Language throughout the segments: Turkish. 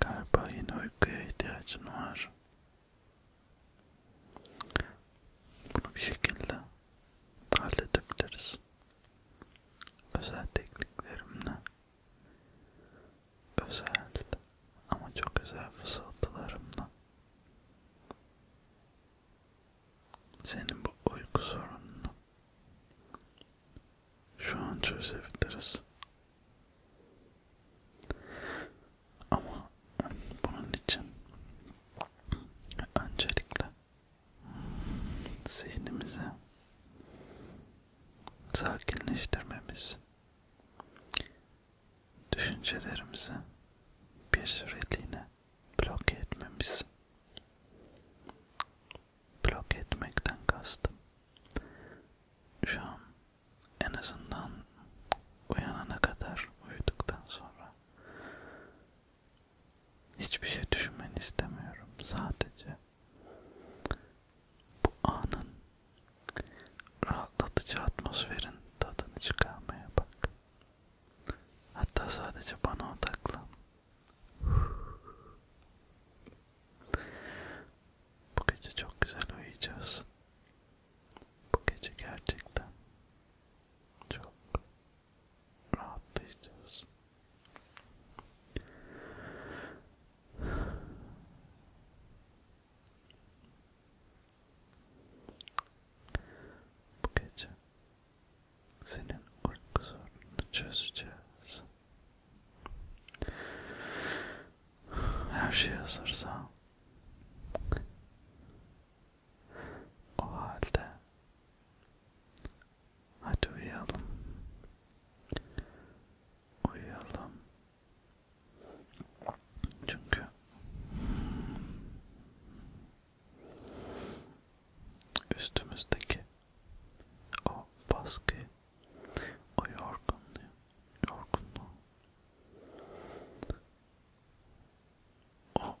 Galiba yine uykuya ihtiyacın var. Bunu bir şekilde halledebiliriz. Özel tekniklerimle, özel ama çok özel fısıltılarımla senin bu uyku sorununu şu an çözebiliriz. Ama bunun için öncelikle zihnimizi sakinleştirmemiz, düşüncelerimizi bir süreliğine bloke etmemiz. Bloke etmekten kastım. Şu an en azından uyanana kadar, uyuduktan sonra hiçbir şey düşünmeni istemiyorum. Sadece bu anın rahatlatıcı atmosferin tadını çıkarmaya bak. Hatta sadece bana odaklan. Bu gece çok güzel uyuyacağız. Bu gece gerçekten çok rahatlayacağız. Bu gece senin uyku sorununu çözeceğiz. Her şey hazırsa o halde hadi uyuyalım. Uyuyalım. Çünkü üstümüzdeki o baskı, o yorgunluğu, yorgunluğu, o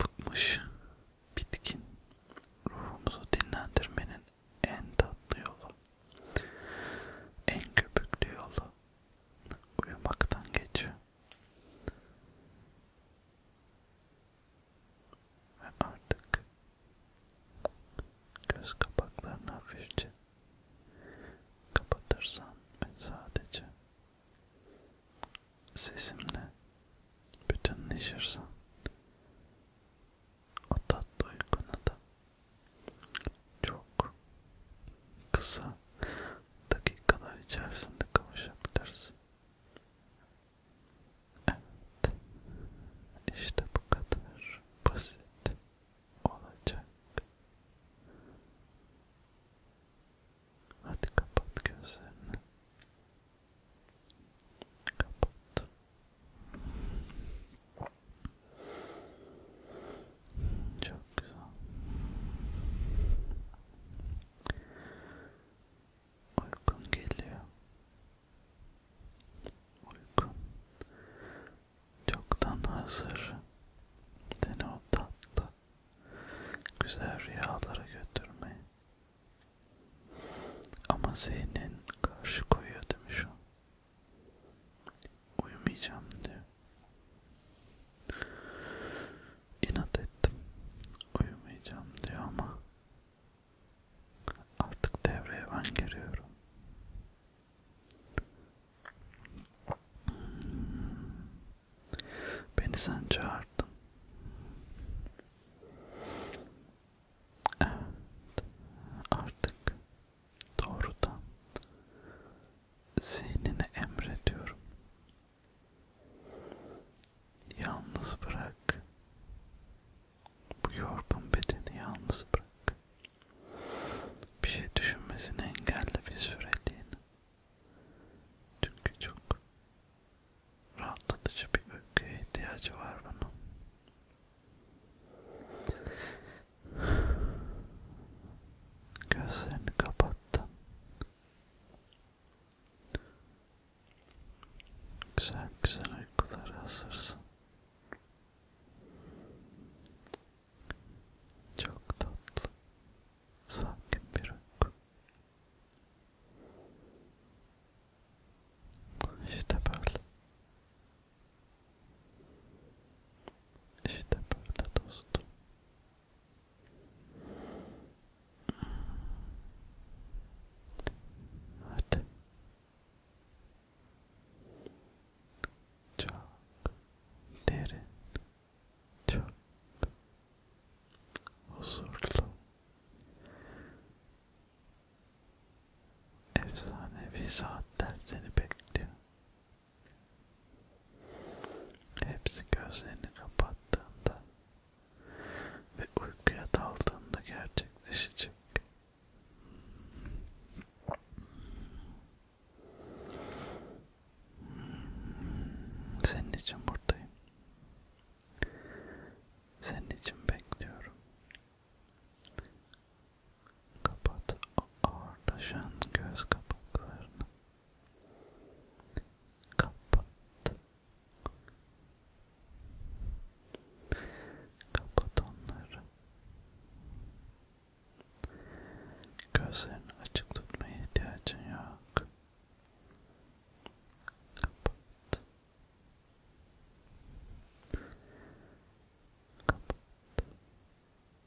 bıkmış, bitkin ruhumuzu dinlendirmenin en tatlı yolu, en köpüklü yolu uyumaktan geçiyor. Ve artık göz kapaklarını hafifçe kapatırsan ve sadece sesimle bütünleşirsen o tatlı uykuna da çok kısa dakikalar içerisinde kavuşabiliriz. Evet, işte bu kadar basit olacak. Hadi kapat gözlerini. Kapat. Çok güzel. Uykun geliyor. Uykun çoktan hazır. Seni o tatlı, güzel rüyalara götürmeyi. Ama zihnin karşı koyuyor demiş o uyumayacağım diye. İnat ettim. Uyumayacağım diyor ama artık devreye ben giriyorum. Beni sen çağırdın. Evet. Artık doğrudan zihnine emrediyorum. Yalnız bırak. Bu yorgun bedeni yalnız bırak. Bir şey düşünmesini engelle bir süreliğine. Çünkü çok rahatlatıcı bir öyküye ihtiyacı var bunun. Gözlerini kapattın. Güzel güzel uykulara hazırsın. Çok tatlı, sakin bir uyku. İşte böyle. İşte böyle dostum. Hadi. Çok derin, çok huzurlu, efsanevi saatler seni bekliyor. Hepsi gözlerini kapattığında ve uykuya daldığında gerçekleşecek. Senin için buradayım. Senin için bekliyorum. Kapat o ağırlaşan göz kapaklarını. Kapat. Kapat onları. Gözlerini açık tutmaya ihtiyacın yok. Kapat. Kapat.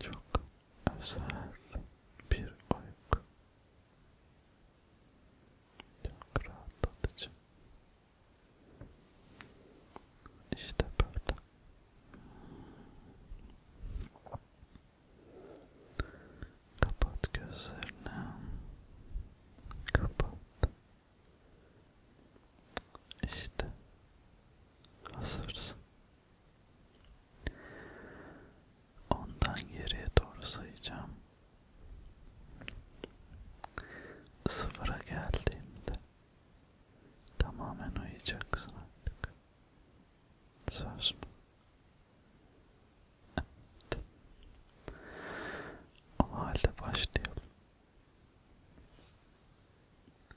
Çok özel bir uyku. Çok rahatlatıcı. İşte böyle. Kapat gözlerini. Kapat. İşte hazırsın. Ondan geriye doğru sayacağım. Sıfıra geldiğinde tamamen uyuyacaksın artık. Söz mü? Evet. O halde başlayalım.